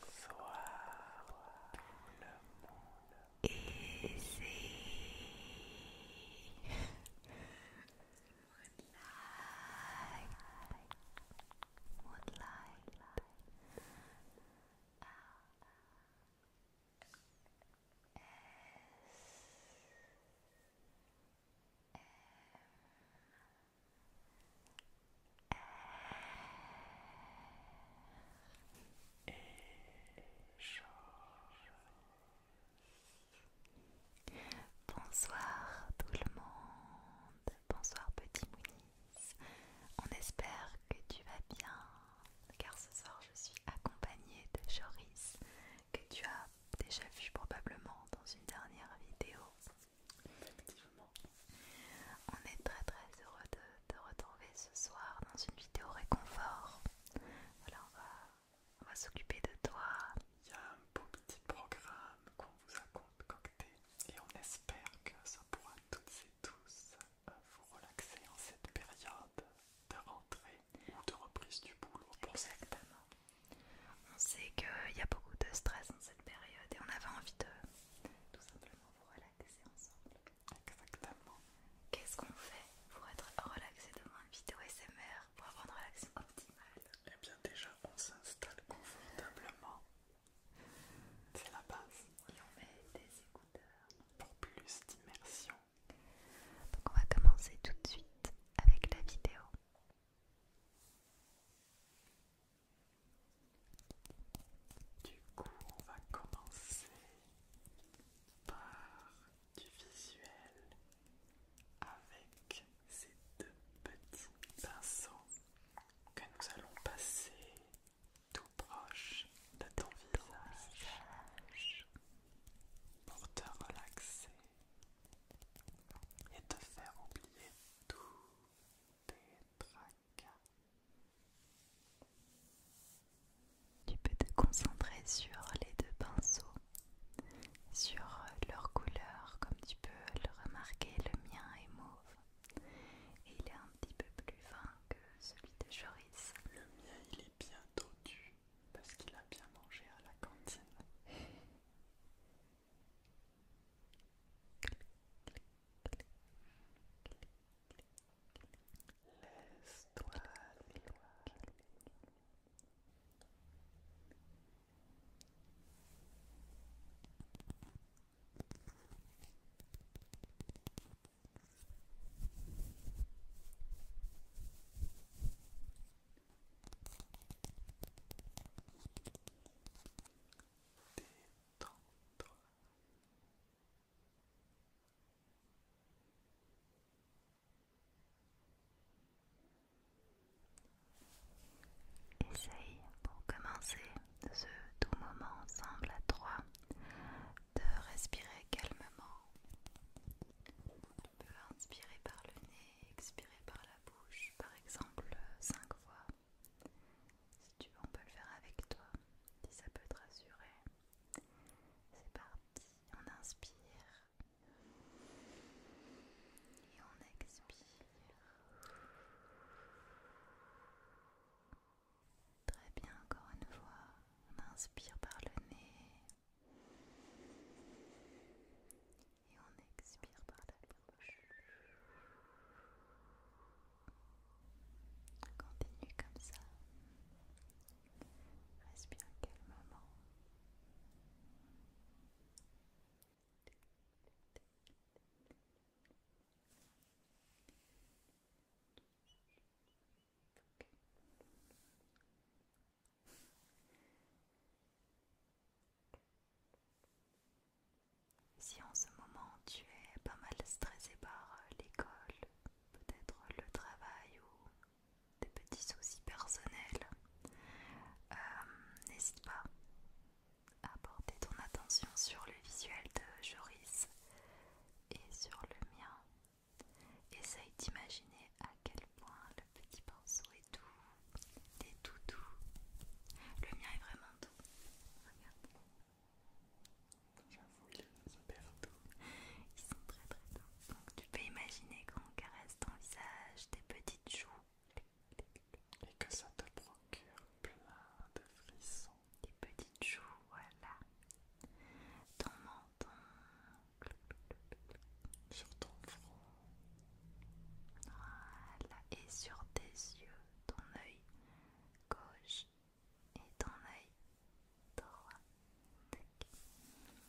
Bonsoir tout le monde. Easy. Moonlight. Moonlight. Ah, ah. Bonsoir tout le monde, bonsoir petit Mounis, on espère que tu vas bien, car ce soir je suis accompagnée de Joris que tu as déjà vu probablement dans une dernière vidéo. Effectivement. On est très très heureux de te retrouver ce soir dans une vidéo réconfort. Voilà, on va, on va s'occuper de toi. Il y a un beau petit programme qu'on vous a concocté et on espère que ça pourra toutes et tous euh, vous relaxer en cette période de rentrée de reprise du boulot. Exactement. On sait qu'il y a beaucoup de stress dans cette période et on avait envie de tout simplement vous relaxer ensemble. Exactement. Qu'est-ce qu'on fait pour être relaxé devant une vidéo SMR, pour avoir une relaxation optimale Eh bien déjà, on s'installe confortablement. C'est la base. Et on met des écouteurs. Pour plus d'immersion. Donc on va commencer tout de suite avec la vidéo. Du coup, on va commencer par du visuel avec ces deux petits pinceaux que nous allons passer tout proche de ton visage pour te relaxer et te faire oublier tous tes tracas. Tu peux te concentrer sur les deux pinceaux, sur leur couleur, comme tu peux le remarquer, le mien est mauve. Et il est un petit peu plus fin que celui de Joris. Le Bientôt bien parce qu'il a bien mangé à la cantine. Essaye pour commencer ce tout moment semble à trois de respirer calmement on peut inspirer par le nez, expirer par la bouche, par exemple 5 euh, fois. Si tu veux, on peut le faire avec toi, si ça peut te rassurer. C'est parti, on inspire. Et on expire. Très bien, encore une fois, on inspire par le nez et on expire par la bouche. Continue comme ça. Respire calmement. Si en ce moment tu es pas mal stressé par l'école, peut-être le travail ou des petits soucis personnels, euh, n'hésite pas à porter ton attention sur le visuel de Joris et sur le mien Essaye d'imaginer à quel point le petit pinceau est doux, des tout doux. Le mien est vraiment doux. Regarde. J'avoue, il est super doux. Ils sont très très doux. Donc tu peux imaginer qu'on caresse ton visage, tes petites joues. Et que ça te procure plein de frissons. Des petites joues, voilà. Ton menton, sur ton front, voilà. Et sur tes yeux, ton œil gauche et ton œil droit.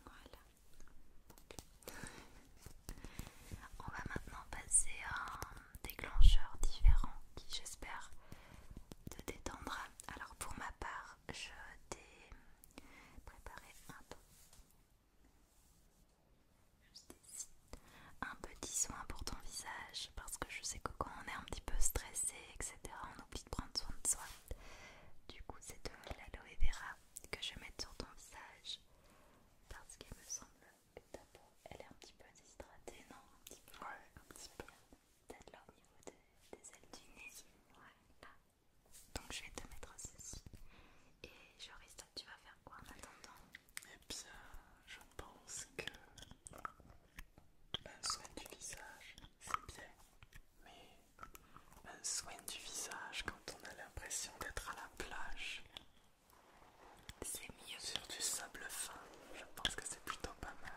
Voilà. On va maintenant passer à un déclencheur différent qui j'espère te détendra alors pour ma part, je t'ai préparé un peu. Un petit soin pour ton visage parce que je sais que quand on est un petit peu stressé, etc., on oublie de prendre soin de soi. Du coup, c'est de l'aloe vera que je vais sur ton visage parce qu'il me semble que ta peau elle est un petit peu déshydratée, non un petit peu, Ouais, un petit peu peut là au niveau des ailes du nez. Ouais, là. Donc je vais te mettre ceci. Et Joris, toi tu vas faire quoi en attendant Eh bien, je pense que un soin du visage, c'est bien. Mais un soin du visage quand on a l'impression d'être à la plage. C'est mieux. Sur du sable fin, je pense que c'est plutôt pas mal.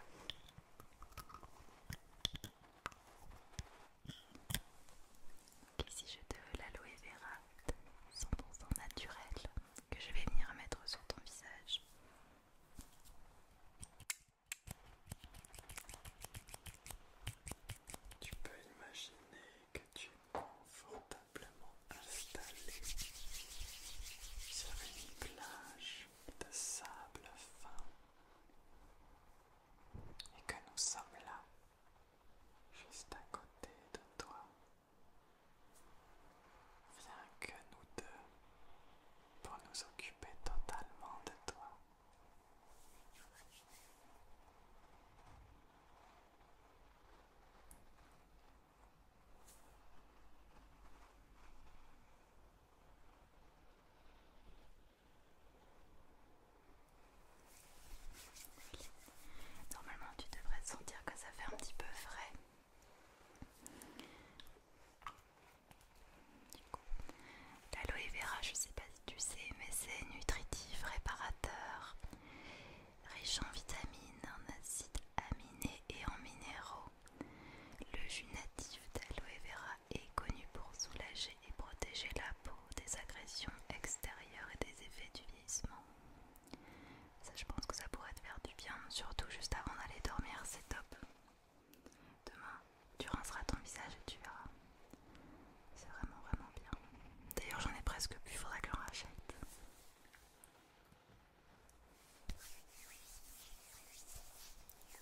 Ok, si je te l'aloe vera son naturel que je vais venir mettre sur ton visage. Tu peux imaginer que tu es confortablement installé sur une plage de sable fin et que nous sommes là, juste à côté de toi. Viens que nous deux pour nous occuper totalement de toi. Normalement, tu devrais sentir que ça fait un petit peu frais. L'aloe vera, je ne sais pas si tu sais, mais c'est nutritif, réparateur, riche en vitamines, en acides aminés et en minéraux. Le jus natif d'aloe vera est connu pour soulager et protéger la peau des agressions extérieures et des effets du vieillissement. Ça, je pense que ça pourrait te faire du bien, surtout juste avant d'aller dormir, c'est top. Demain, tu rinceras ton visage et tu verras. C'est vraiment, vraiment bien. D'ailleurs, j'en ai presque plus, faudra que je rachète.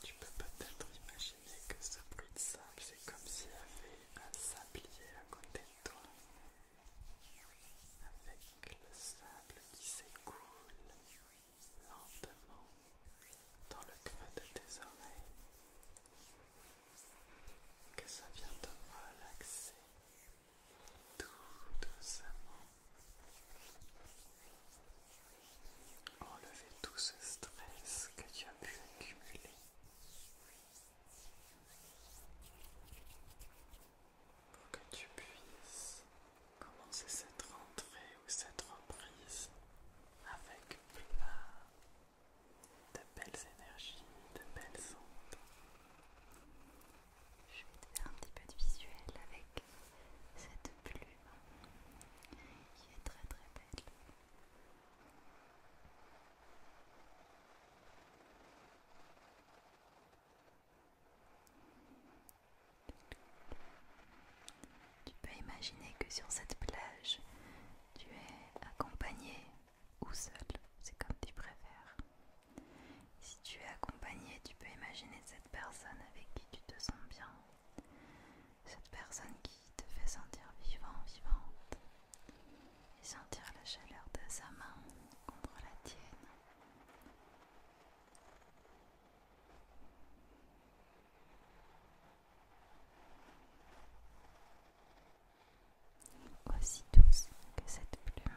Tu peux peut-être imaginer que ce bruit de sable, c'est comme s'il y avait un sablier à côté de toi, avec le sable qui s'écoule lentement dans le creux de tes oreilles, que ça vient te relaxer tout doucement. Enlever tout ce stress que tu as pu accumuler. Pour que tu puisses commencer cette rentrée ou cette reprise avec plein de belles énergies, de belles ondes. Je vais te faire un petit peu de visuel avec cette plume qui est très très belle. Tu peux imaginer que sur cette plage, tu es accompagné ou seul, c'est comme tu préfères. Si tu es accompagné, tu peux imaginer cette personne avec qui tu te sens bien, cette personne qui te fait sentir vivant, vivante, et sentir la chaleur de sa main contre la tienne. Aussi douce que cette plume,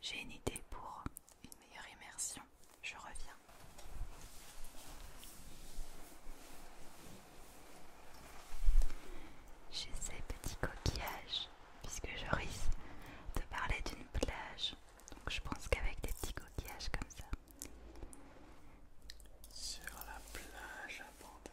J'ai une idée pour une meilleure immersion. Je reviens. J'ai ces petits coquillages, puisque je risque de parler d'une plage. Donc je pense qu'avec des petits coquillages comme ça. Sur la plage abandonnée.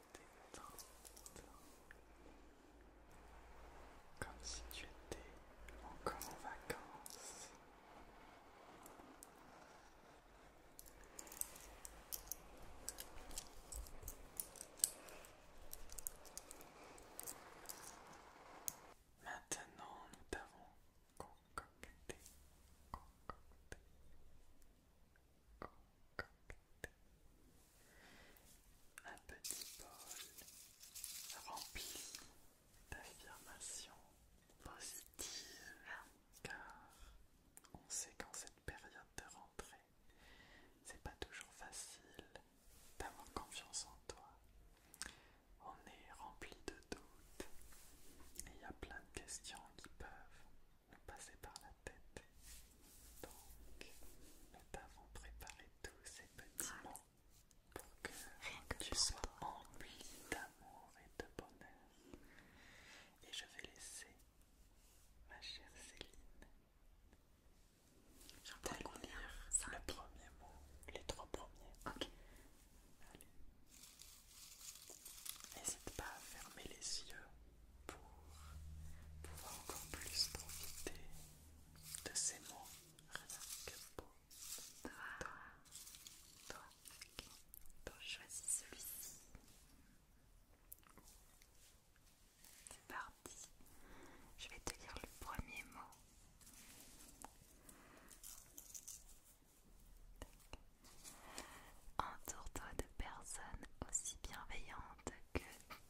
comme si tu étais encore en vacances. Maintenant, nous t'avons concocté un petit bol rempli d'affirmations positives, car on sait qu'en cette période de rentrée, c'est pas toujours facile d'avoir confiance en toi. On est rempli de doutes et il y a plein de questions qui peuvent nous passer par la tête. Donc, nous t'avons préparé tous ces petits mots pour que, tu sois envie d'amour et de bonheur. Et je vais laisser ma chère Céline J'en Le premier mot, les trois premiers. Ok. Allez. N'hésite pas à fermer les yeux pour pouvoir encore plus profiter de ces mots que pour toi. Toi, toi. choisis celui-ci. C'est parti. Je vais te lire le premier mot. Entoure-toi de personnes aussi bienveillantes que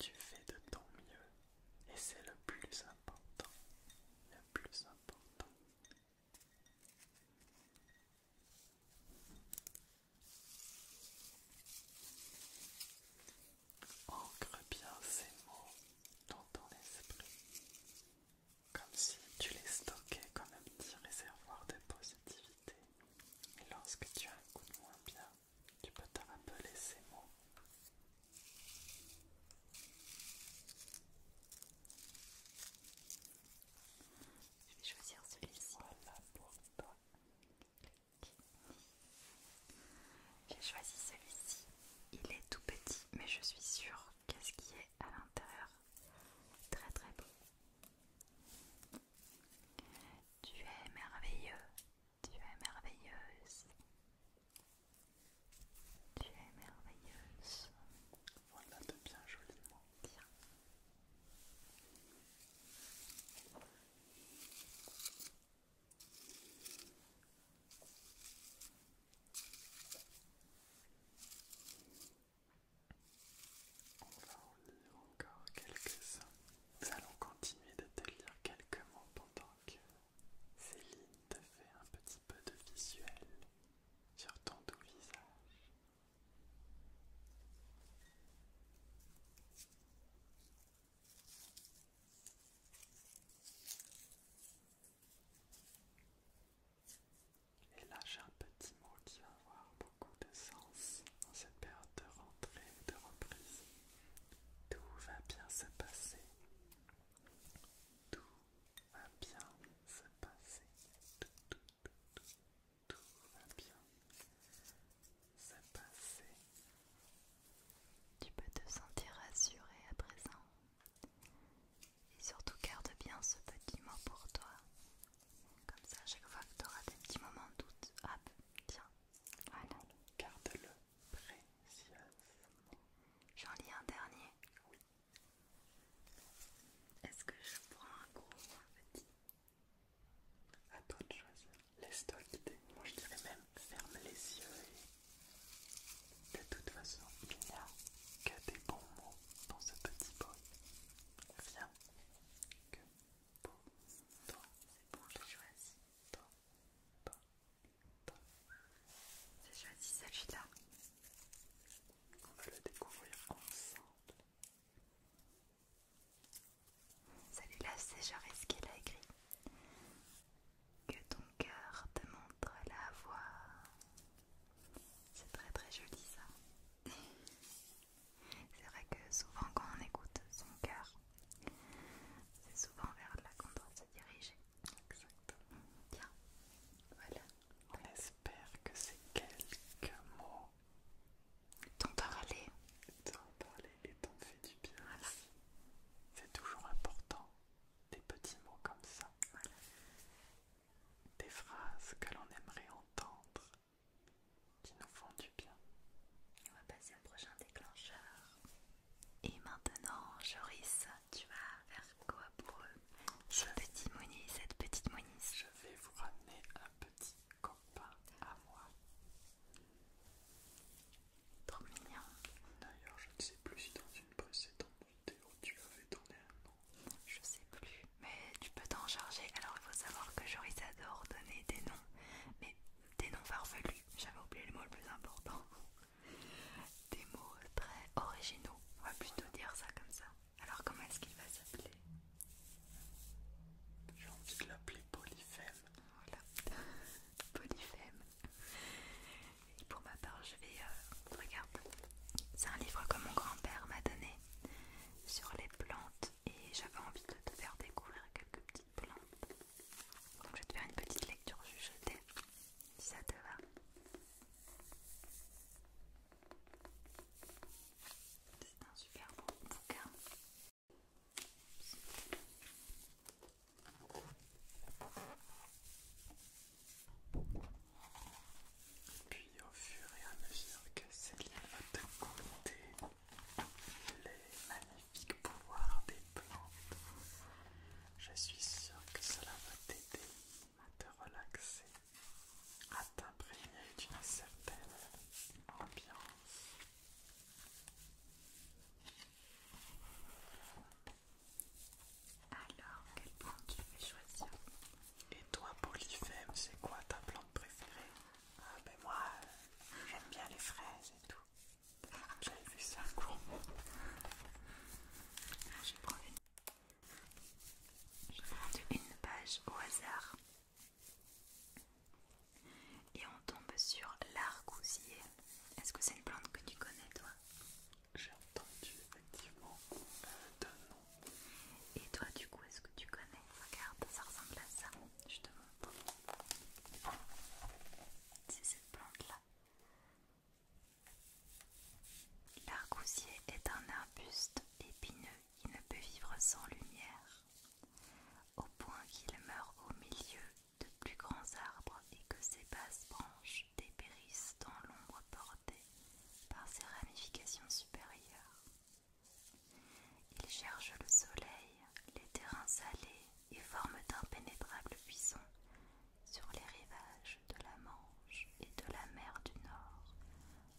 Tu fais de ton mieux et c'est le plus important, le plus important. Ancre bien ces mots dans ton esprit comme si tu les stockais comme un petit réservoir de positivité. Et lorsque tu as un coup de moins bien, tu peux te rappeler ces mots. Je vais choisir celui-ci. Voilà pour toi. J'ai choisi celui-ci. Il est tout petit, mais je suis sûre qu'est-ce qui est à l'intérieur Très très beau. Tu es merveilleux. Tu es merveilleuse. Tu es merveilleuse. Voilà de bien joliment. Bien. On va en lire encore quelques-uns. Nous allons continuer de te lire quelques mots pendant que Céline te fait un petit peu de visuel sur ton doux visage. Et là, j'ai un petit mot qui va avoir beaucoup de sens dans cette période de rentrée de reprise. Tout va bien se passer. Tout va bien se passer. Tout, tout, tout, tout, tout va bien se passer. Tu peux te sentir rassuré à présent. Et surtout garde bien ce petit mot pour toi. Comme ça, à chaque fois que tu auras des petits moments de doute, hop, tiens, voilà. Garde-le précieusement. J'en lis un dernier. Oui. Est-ce que je prends un gros petit À toi de choisir. Laisse-toi guider. Moi, je dirais même ferme les yeux et de toute façon, il n'y a que des bons mots dans ce petit pot. viens que pour toi. C'est bon, j'ai choisi. J'ai choisi celui-là. On va le découvrir ensemble. Celui-là, c'est qui l'a écrit. Que ton cœur te montre la voie. C'est très très joli ça. c'est vrai que souvent quand on écoute son cœur, c'est souvent vers là qu'on doit se diriger. Exactement. Bien. Voilà. On espère que ces quelques mots t'ont parlé. T'ont parlé et t'ont fait du bien. C'est toujours important, des petits mots comme ça. Voilà des phrases que l'on aimerait entendre, qui nous font du bien. On va passer au prochain déclencheur. Et maintenant, Joris, tu vas faire quoi pour eux Ce petit cette petite Moniz. Je vais vous ramener un petit copain à moi. Trop mignon. D'ailleurs, je ne sais plus si dans une précédente tu avais donné un nom Je sais plus, mais tu peux t'en charger. Alors il faut savoir que Joris adore donner des noms, mais des noms farfelus. J'avais oublié le mot le plus important. Des mots très originaux. On va plutôt dire ça comme ça. Alors comment est-ce qu'il va s'appeler J'ai envie de l'appeler Polyphème. Voilà. Polyphème pour ma part, je vais. Euh, regarde, c'est un livre que mon grand-père m'a donné sur les plantes et j'avais envie de te faire découvrir quelques petites plantes. Donc je vais te faire une petite lecture t'ai si ça te va. C'est un super bon bouquin. Puis au fur et à mesure que Céline va te goûter les magnifiques pouvoirs des plantes, je suis sûre que cela va t'aider à te relaxer, à t'imprégner d'une certaine ambiance. Alors, quelle plante tu veux choisir Et toi, Polyphème, c'est quoi ta plante préférée Ah, ben moi, euh, j'aime bien les fraises et tout. J'avais vu ça un ah, Je prends une... Je une page au hasard. Et on tombe sur l'argousier. Est-ce que c'est une plante que tu connais, toi j'ai entendu effectivement un euh, nom. Et toi, du coup, est-ce que tu connais Regarde, ça ressemble à ça. Je te montre. C'est cette plante-là. L'argousier est un arbuste épineux qui ne peut vivre sans lumière, au point qu'il meurt au milieu de plus grands arbres et que ses basses branches dépérissent dans l'ombre portée par ses ramifications supérieures. Il cherche le soleil, les terrains salés et forme d'impénétrables buissons sur les rivages de la Manche et de la mer du Nord,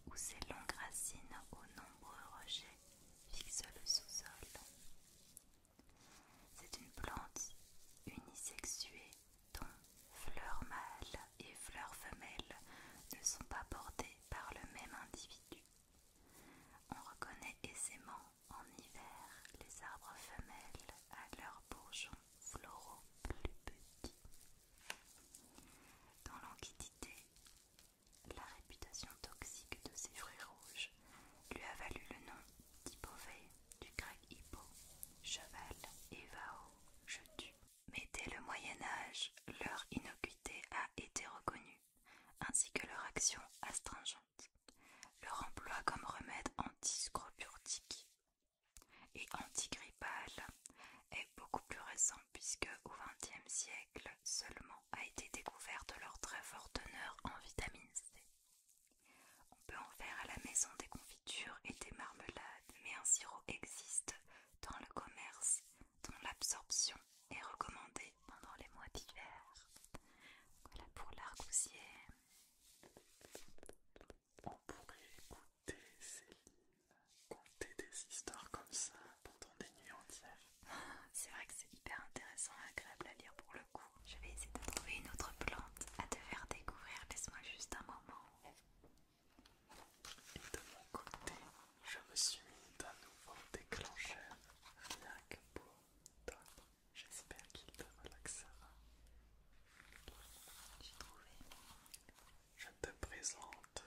où ses longues racines aux nombreux rejets fixent le sous-sol. C'est une plante unisexuée dont fleurs mâles et fleurs femelles ne sont pas portées par le même individu. On reconnaît aisément en hiver les arbres femelles à leurs bourgeons floraux plus petits. Dans l'Antiquité, la réputation toxique de ces fruits rouges lui a valu le nom d'Hypovée du grec hippo, cheval et vao, je tue. Mais dès le Moyen Âge, leur innocuité a été reconnue, ainsi que leur action astringente, leur emploi comme remède antiscropurtique et antigrippal est beaucoup plus récent puisque au XXe siècle seulement a été découverte leur très forte teneur en vitamine C. On peut en faire à la maison des confitures et des marmelades, mais un sirop existe dans le commerce dont l'absorption est recommandée pendant les mois d'hiver. Voilà pour l'argousier. On pourrait écouter Céline conter des histoires comme ça pendant des nuits entières. C'est vrai que c'est hyper intéressant et agréable à lire pour le coup. Je vais essayer de trouver une autre plante à te faire découvrir. Laisse-moi juste un moment. de mon côté, je me suis mis d'un nouveau déclencheur rien que pour toi. J'espère qu'il te relaxera. J'ai trouvé. Je te présente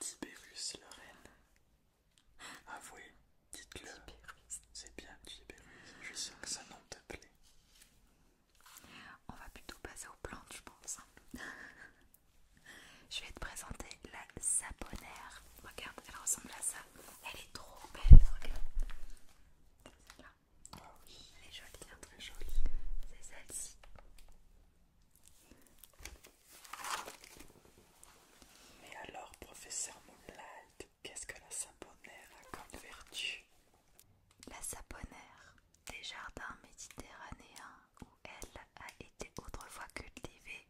Tibérus Lorraine. Avouez, dites-le. C'est bien Tibérus. Je sais que ce nom te plaît. On va plutôt passer aux plantes je pense. je vais te présenter la saponaire, Regarde, elle ressemble à ça. Elle est trop belle. Regarde. elle est jolie, hein. très jolie. C'est celle-ci. Mais alors, professeur Moonlight, qu'est-ce que la saponaire a comme vertu la saponaire des jardins méditerranéens où elle a été autrefois cultivée,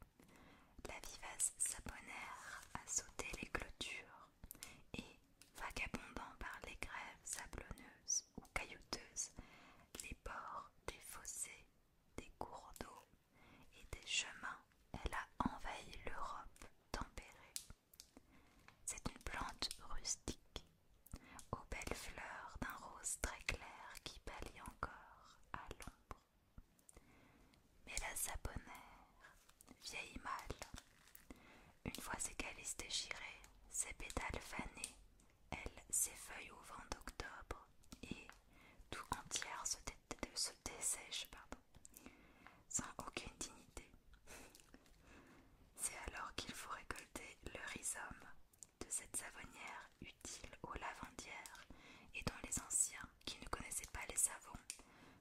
la vivace saponaire a sauté les clôtures et, vagabondant par les grèves sablonneuses ou caillouteuses, les bords des fossés, des cours d'eau et des chemins, elle a envahi l'Europe tempérée. C'est une plante rustique, aux belles fleurs d'un rose très clair qui pâlit encore à l'ombre. Mais la saponaire vieille mâle, une fois ses calices déchirés, ses pétales fanés, elle s'effeuille au vent d'octobre et tout entière se, dessèche sans aucune dignité. C'est alors qu'il faut récolter le rhizome de cette savonnière utile aux lavandières et dont les anciens qui ne connaissaient pas les savons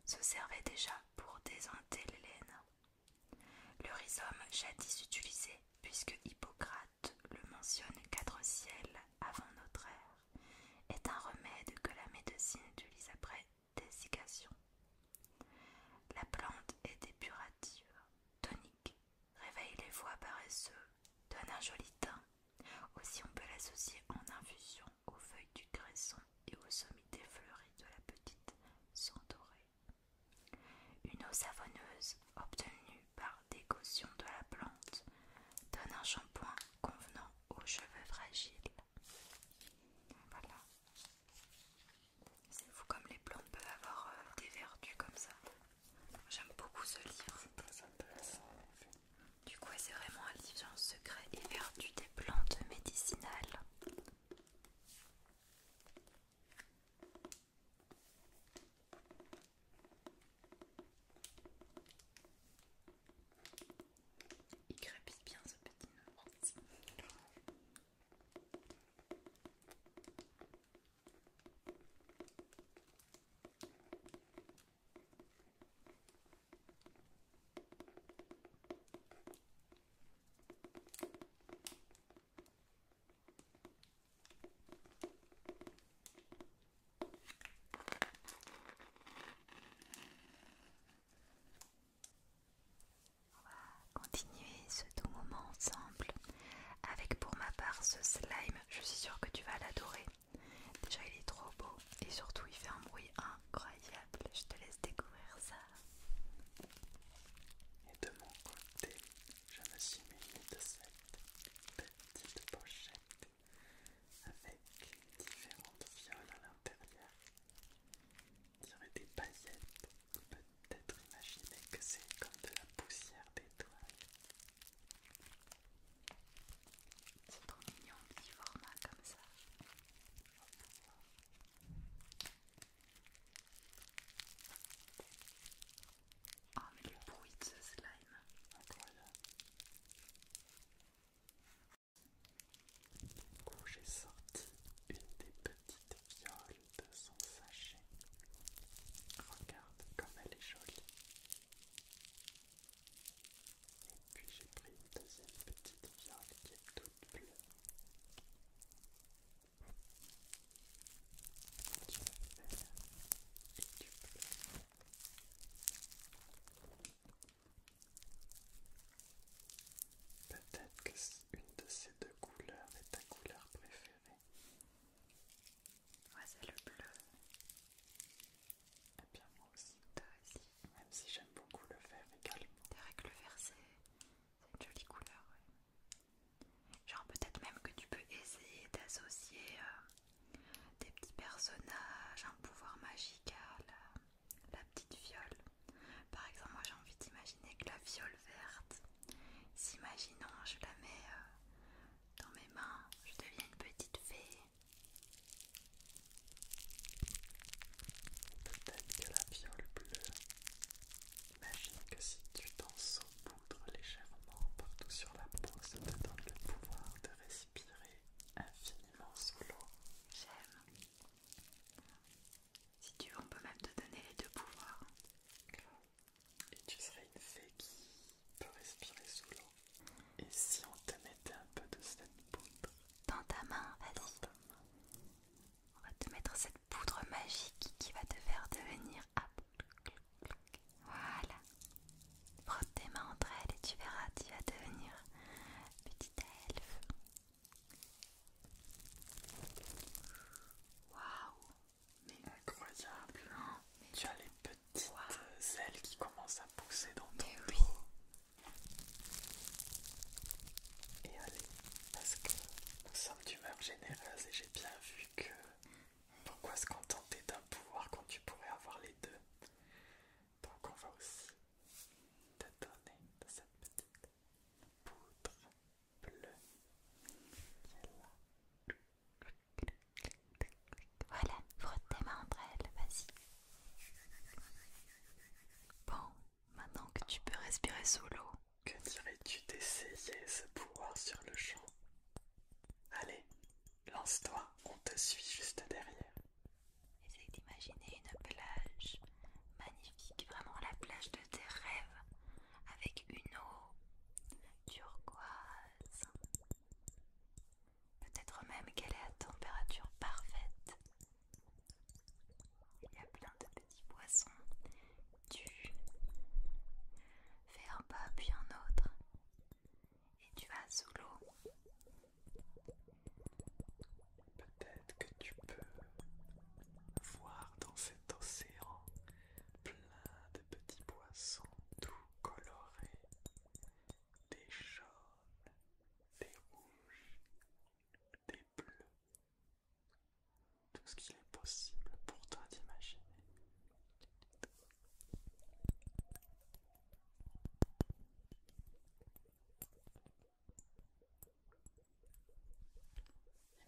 se servaient déjà pour désenter les laines. Le rhizome jadis utilisé puisque Hippocrate le mentionne quatre siècles avant notre ère est un remède que la médecine utilise après la plante est dépurative, tonique, réveille les voies paresseux, donne un joli teint. Aussi on peut l'associer en infusion aux feuilles du cresson et aux sommités fleuries de la petite centaurée. Une eau savonneuse obtenue par décaution de la plante donne un shampoing convenant aux cheveux fragiles voilà. C'est fou comme les plantes peuvent avoir euh, des vertus comme ça. J'aime beaucoup ce livre. C'est très intéressant. Du coup, c'est vraiment un livre secret et vertus des plantes médicinales. Il crépite bien ce petit nœud. On va continuer ce doux moment ensemble avec pour ma part ce slime. Je suis sûre que tu vas l'adorer. Déjà il est trop beau et surtout il fait un bruit incroyable. Je te laisse découvrir ça. Et de mon côté, je me suis de cette petite pochette avec différentes violes à l'intérieur aurait des paillettes. On peut peut-être imaginer que c'est comme de la poussière d'étoiles. C'est trop mignon, petit format comme ça. Oh, mais le bruit de ce slime! Du coup, j'ai sorti une des petites violes de son sachet, regarde comme elle est jolie. Et puis j'ai pris une deuxième petite viole qui est toute bleue. Tu et tu bleu. Peut-être qu'une de ces deux couleurs est ta couleur préférée. Moi, c'est le bleu. Et eh bien, moi aussi. Même si j'aime beaucoup le vert également. C'est vrai que le vert, c'est une jolie couleur. Genre, peut-être même que tu peux essayer d'associer euh, des petits personnages, un pouvoir magical. Euh la petite viole. Par exemple, moi j'ai envie d'imaginer que la viole verte, s'imaginant, je la mets euh, dans mes mains, je deviens une petite fée. Peut-être que la viole bleue. Imagine que si tu t'en saupoudres légèrement partout sur la peau, ça te donne le pouvoir de respirer infiniment sous l'eau. J'aime. Si tu veux, on peut même te donner les deux pouvoirs. Et tu serais une fée qui peut respirer sous l'eau. Et si on te mettait un peu de cette poudre Dans ta main, vas-y. On va te mettre cette poudre magique qui va te faire devenir Voilà. Frotte tes mains entre elles et tu verras, tu vas devenir petite incroyable! Hein. tu as les petites euh, ailes qui commencent à pousser dans ton dos. Et allez, parce que nous sommes d'humeur généreuse et j'ai bien vu que pourquoi se contenter d'un pouvoir quand tu pourrais avoir les deux? Donc on va aussi de donner de cette petite poudre bleue Voilà, frotte tes mains entre vas-y. Bon, maintenant que tu peux respirer sous l'eau. Que dirais-tu d'essayer ce pouvoir sur le champ Allez, lance-toi, on te suit juste derrière. Essaye d'imaginer une plage magnifique, vraiment la plage de tes rêves, avec une eau turquoise. Peut-être même qu'elle est à température parfaite. Il y a plein de petits poissons. Tu fais un pas puis un autre et tu vas sous l'eau. Peut-être que tu peux voir dans cet océan plein de petits poissons tout colorés, des jaunes, des rouges, des bleus, tout ce qu'il est possible pour toi d'imaginer.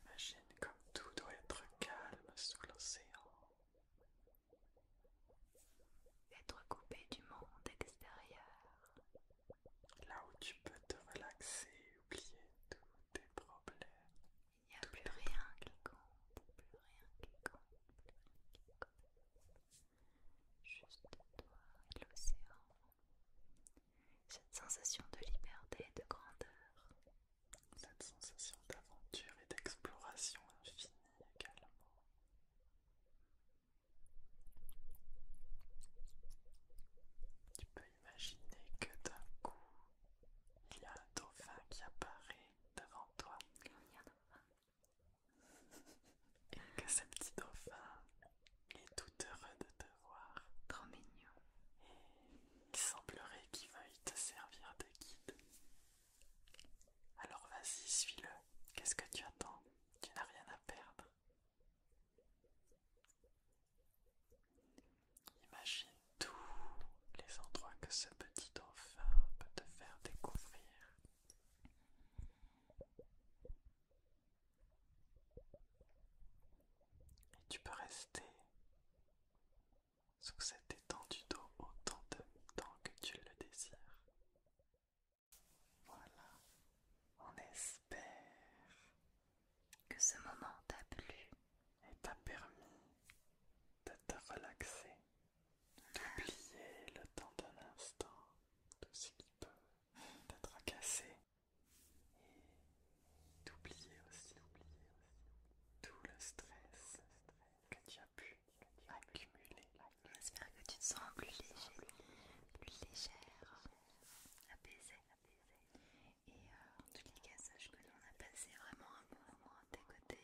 Imagine comme tout doit être calme sous l'océan. Être coupé du monde extérieur. Là où tu peux te relaxer, oublier tous tes problèmes. Il n'y a plus rien, qui compte, plus rien qui plus rien qui compte. Juste toi et l'océan. Cette sensation de liberté et de grandeur. Cette sensation d'aventure et d'exploration infinie également. Tu peux imaginer que d'un coup, il y a un dauphin qui apparaît devant toi. Et que ce petit dauphin est tout heureux de te voir. Trop mignon. Et il semblerait qu'il veuille te servir de guide. Alors vas-y, suis-le. Qu'est-ce que tu attends Tu n'as rien à perdre. Imagine tous les endroits que ce petit dauphin peut te faire découvrir. Et tu peux rester sous cette étendue dos autant de temps que tu le désires. Voilà, on espère que ce moment t'a plu et t'a permis de te relaxer d'oublier le temps d'un instant tout ce qui peut être cassé. et d'oublier aussi, d'oublier aussi tout le stress que tu as pu accumuler. J'espère que tu te sens plus léger, plus légère, apaisée. Et euh, en tous les cas, sache que on a passé vraiment un bon moment à tes côtés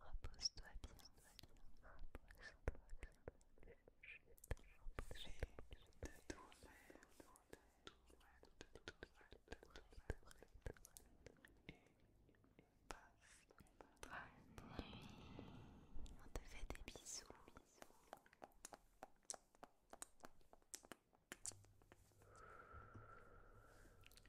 Repose-toi bien, de de Et passe nuit. On te fait des bisous. bisous.